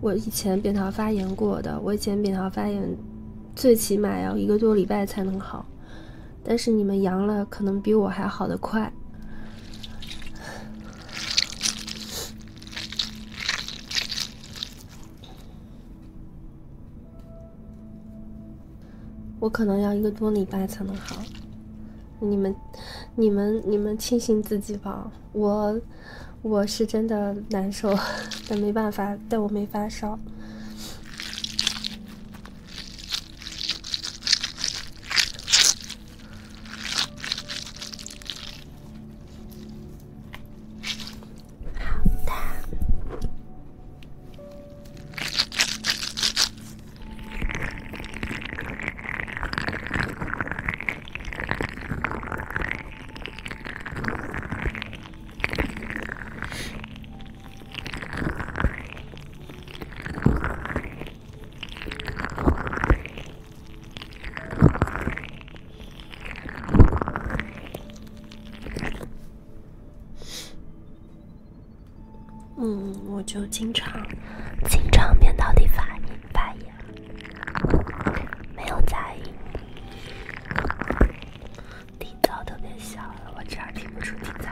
我以前扁桃发炎过的，我以前扁桃发炎，最起码要一个多礼拜才能好。但是你们阳了，可能比我还好的快。我可能要一个多礼拜才能好。你们，你们，你们庆幸自己吧。我，我是真的难受，但没办法，但我没发烧。嗯我就经常经常扁桃体发炎发炎没有在意，底噪特别小我这儿听不出底噪。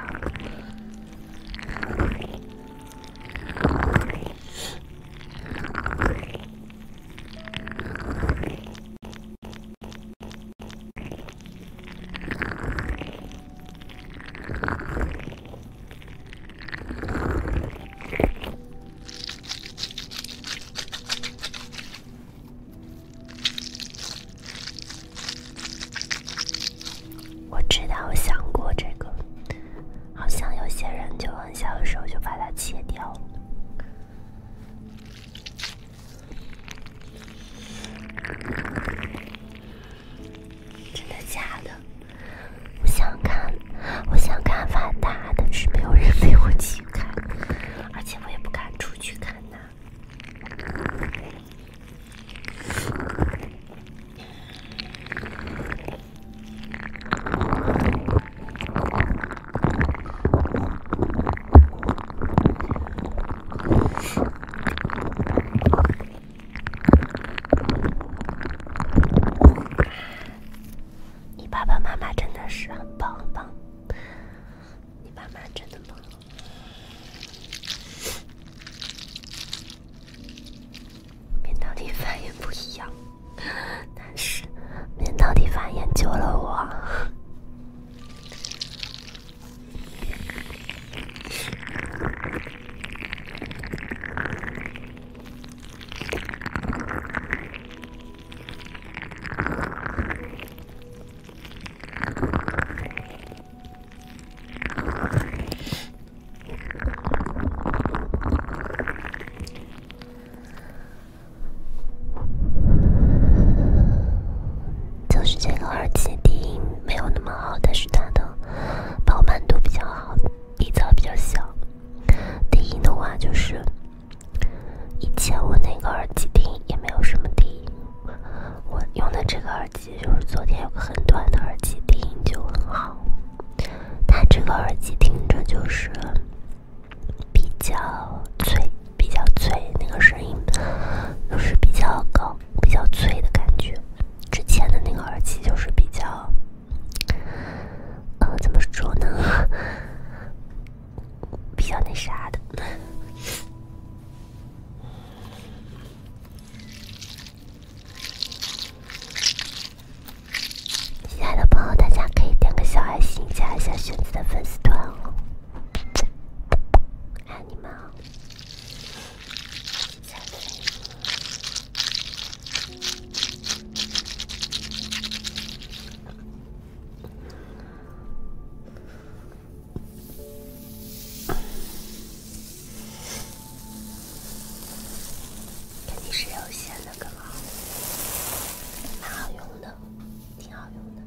我知道，想过这个，好像有些人就很小的时候就把它切掉。了。真的假的？我想看，我想看万达，但是没有人陪我去看，而且我也不敢出去看呐。你爸爸妈妈真的是很棒很棒，你爸妈真的棒。面到底反应不一样，但是面到底反应救了我。就是这个耳机低音没有那么好，但是它的饱满度比较好，底噪比较小。低音的话，就是以前我那个耳机听也没有什么低音。我用的这个耳机，就是昨天有个很短的耳机，低音就很好。它这个耳机听着就是比较脆，比较脆，那个声音就是比较高、比较脆的感觉。之前的那个耳机就是比较。呃，怎么说呢？比较那啥的。亲爱的朋友们，大家可以点个小爱心，加一下萱子的粉丝团哦。爱你们啊！肯定是有限的，个嘛，蛮好用的，挺好用的。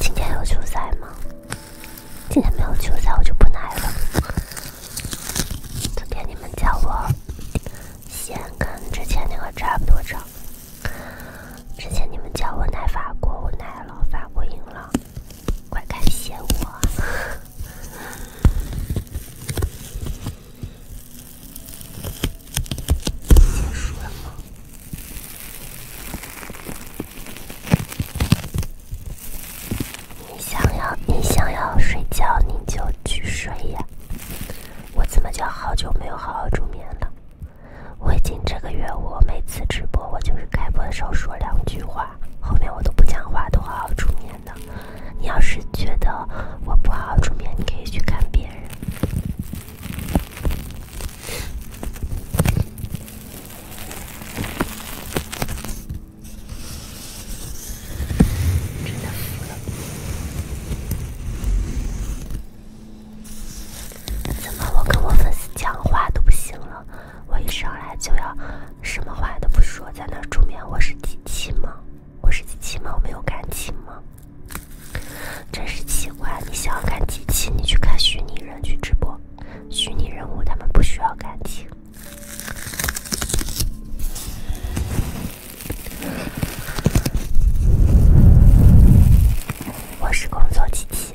今天有球赛吗？今天没有球赛，我就不来了。昨天你们叫我先跟之前那个差不多长。之前你们叫我奶法国，我奶了，法国赢了，快感谢我。你想要，你想要睡觉，你就去睡呀。我怎么就好久没有好好助眠了？我已经这个月，我每次直播，我就是开播的时候说两句话，后面我都不讲话，都好好出面的。你要是觉得我不好好出面，你可以去看别人。真的服了。怎么？我跟我粉丝讲话都不行了？我一上来就要什么话都不说，在那儿助眠？我是机器吗？我是机器吗？我没有感情吗？真是奇怪！你想要看机器，你去看虚拟人去直播。虚拟人物他们不需要感情。我是工作机器。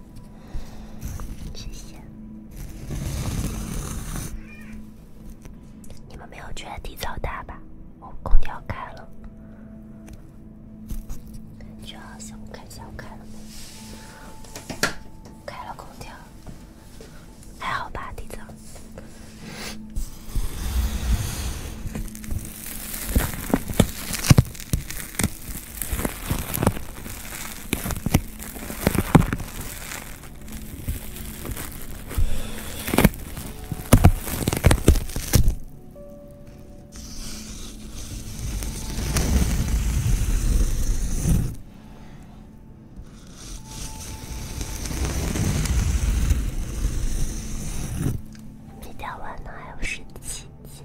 谢谢。你们没有觉得地糟大吧？我空调开了，觉得好像看一下我开了没？开了空调，还好吧？地糟。米大王还有十七斤。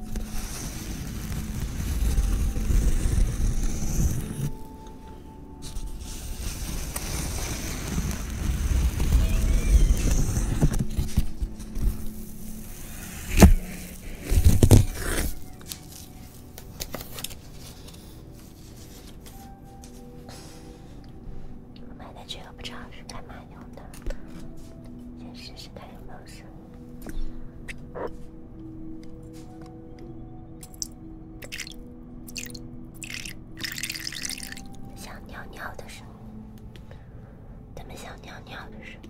我买的这个不知道是干嘛用的，先试试看有没有声音。想尿尿的时候，他们想尿尿的时候。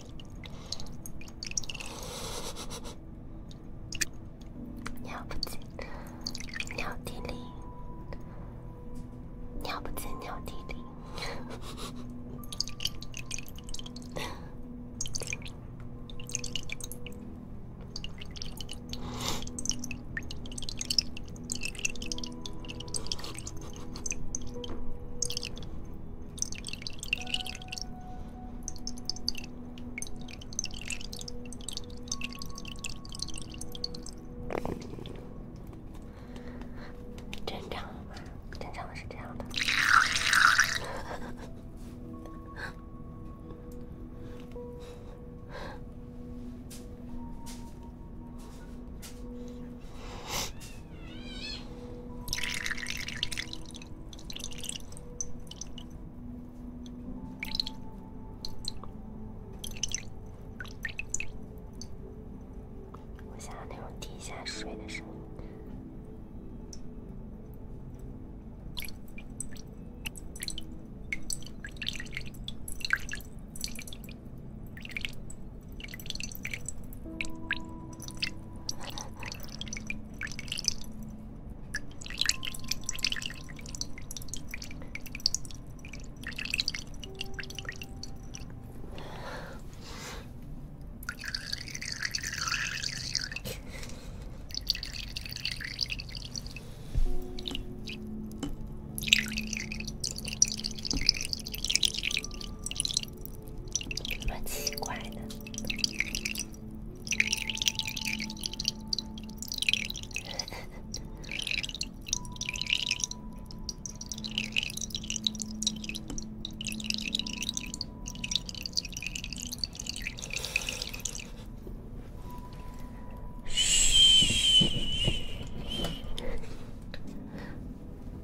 尿 不净，尿地里，尿不净，尿地里。正常吗？正常的是这样的。我想要那种地下水的声音。什么奇怪的？嘘，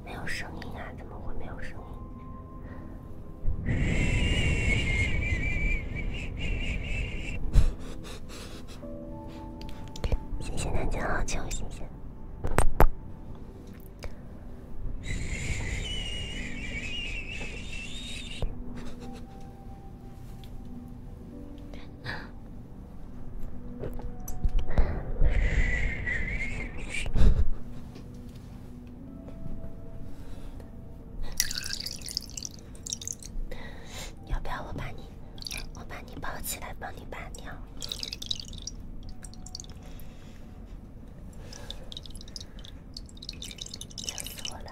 没有声音啊？怎么会没有声音？谢谢大家，好久谢谢。要不要我把你，我把你抱起来，帮你把尿？笑死我了。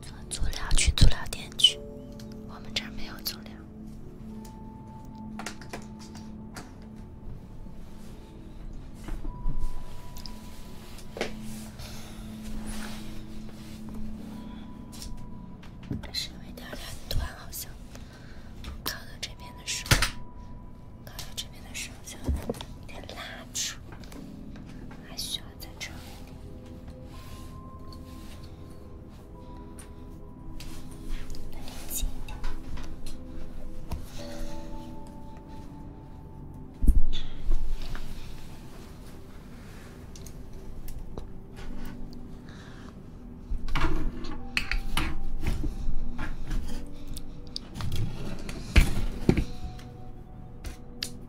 做足疗去足疗店去，我们这儿没有足疗。还是有一点点短，好像。这边的时候，这边的时候，拉还需要。再长一点，再连近一点。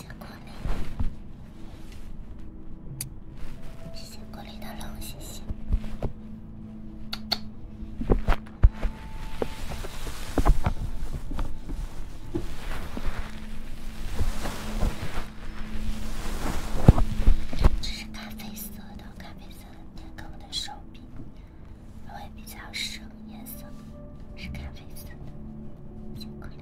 谢谢鼓谢谢鼓励的龙，谢谢。这是咖啡色的，咖啡色的，看我的手臂，会比较深颜色，是咖啡色的。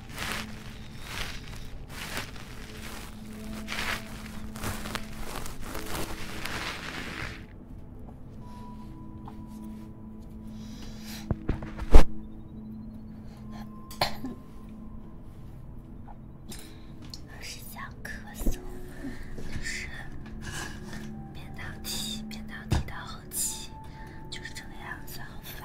老师想咳嗽，就是边答题边答题到。气就是这个样子，好烦。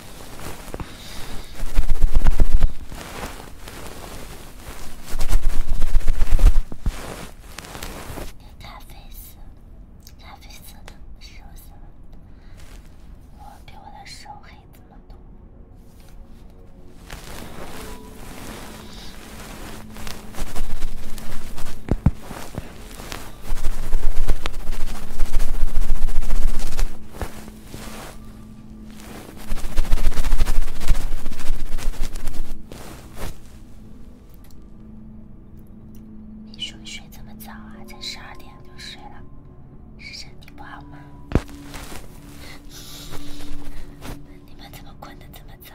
咖啡色，咖啡色的手色，我比我的手黑很多。你说你睡这么早啊？才十二点就睡了，是身体不好吗？你们怎么困得这么早？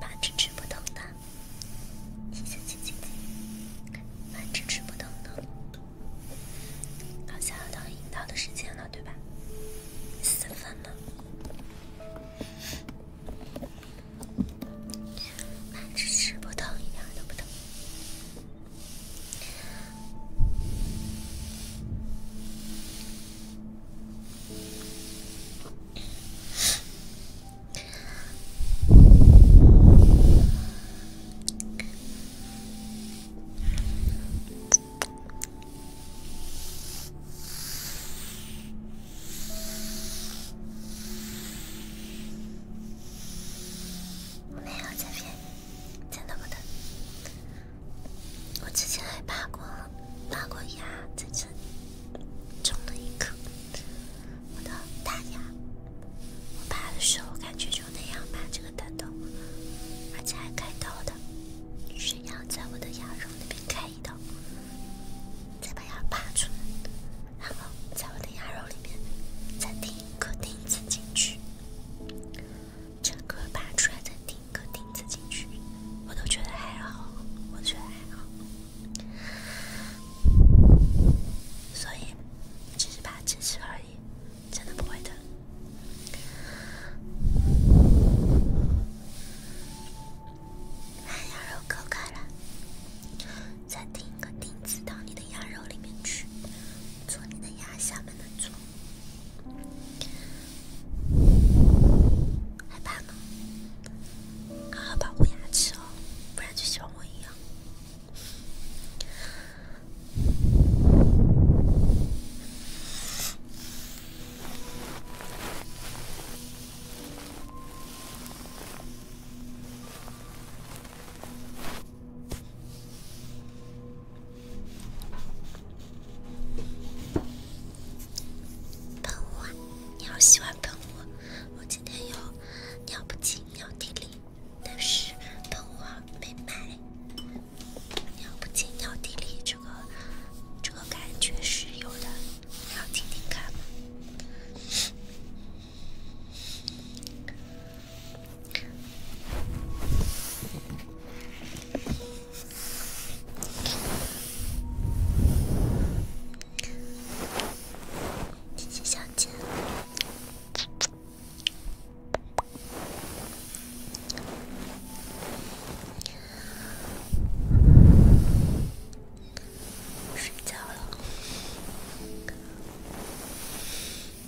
慢着，吃不疼的。停停停停停！慢着，不疼的。好像要到引导的时间了，对吧？四分了。慢着，吃不疼一点，都不疼。没有这边，真的不疼。我之前还拔过，拔过牙，在这里种了一颗我的大牙。我拔的时候，感觉就那样拔这个弹头，而且还开刀的，是要在我的牙肉那边开一刀，再把牙拔出来，然后在我的牙肉里面再钉一颗钉子进去，整个拔出来再钉。个钉子进去，我都觉得还好，我觉得还好，所以只是怕吃吃而已，真的不会疼。把牙肉割开了，再钉一个钉子到你的牙肉里面去，做你的牙下面的柱。害怕吗？好好保护牙齿哦，不然就像我一样。喷我！你要喜欢喷我，我今天有尿不净尿地里，但是喷我没买尿不净尿地里这个这个感觉是有的，你要听听看吗？谢谢小姐，睡觉了。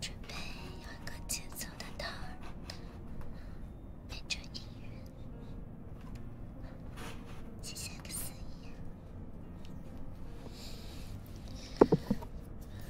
准备有一个节奏的套儿，配着音乐，谢谢司仪。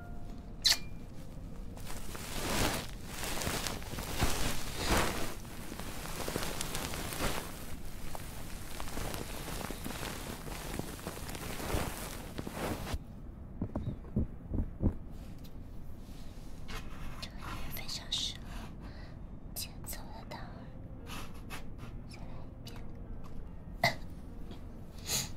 这个音乐非常适合节奏的达尔。再来一遍。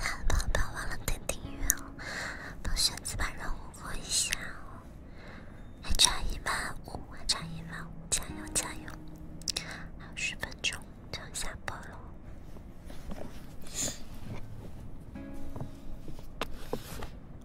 好的宝宝，忘了点订阅哦！帮选子把任务过一下哦！还差一万五，还差一万五，加油加油！还有十分钟就要下播了。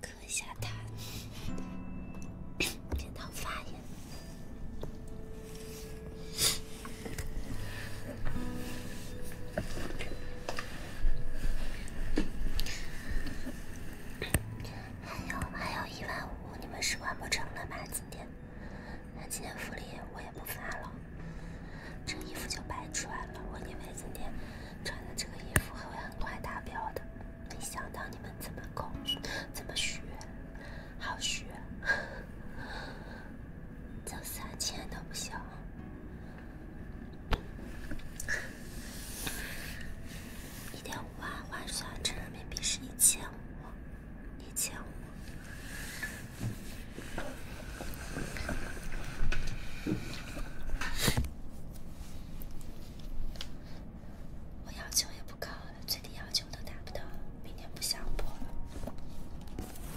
磕下它，别 闹发炎。还有还有一万五，你们是完不成了吧？今天，那今天福利我也不发了，这衣服就白穿了。我以为今天穿的这个衣服会很快达标的，没想到你们怎么狗，怎么虚，好虚。挣三千都不行，一点五万换算成人民币是一千五，一千五。我要求也不高最低要求都达不到，明天不想播了。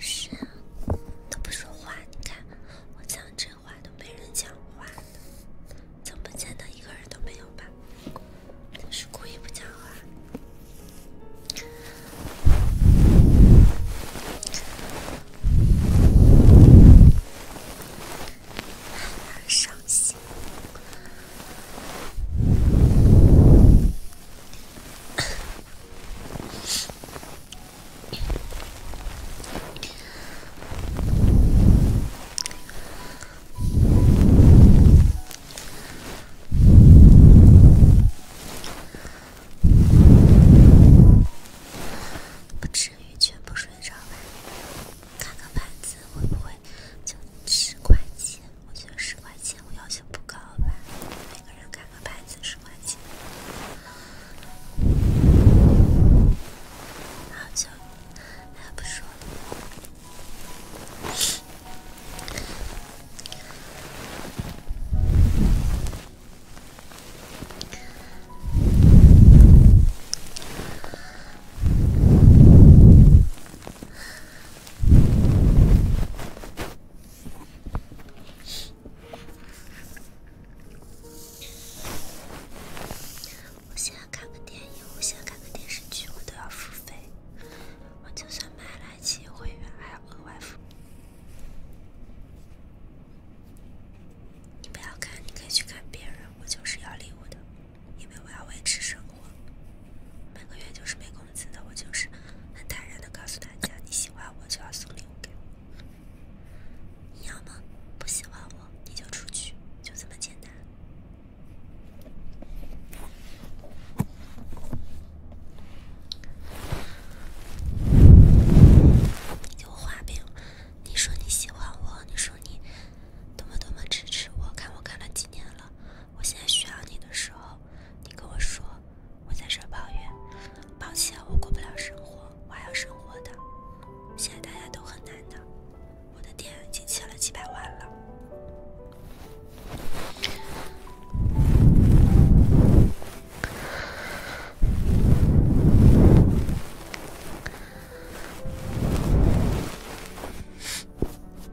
是，啊，都不说话，你看，我讲这。样。话都没人讲话，怎么见他一个人都没有吧？是故意不讲话，伤心。不至于全部睡着吧？看个牌子会不会就十块钱？我觉得十块钱我要求不高吧。每个人看个牌子说。好久还不说。我现在看个电影，我现在看个电视剧，我都要付费。我就算买了爱奇艺会员，还要额外付。你不要看，你可以去看别人。我就是要礼物的，因为我要维持生活。每个月就是没工资的，我就是很坦然的告诉大家，你喜欢我就要送礼物给我。你要么不喜欢我，你就出去，就这么简单。你我画饼，你说你喜欢我，你说你多么多么支持我，看我看了几年了，我现在需要你的时候，你跟我说，我在这抱怨。抱歉，我过不了生活，我还要生活的。现在大家都很难的，我的店已经欠了几百万了。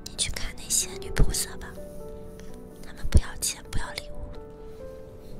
你去看那些女菩萨吧，她们不要钱，不要礼物。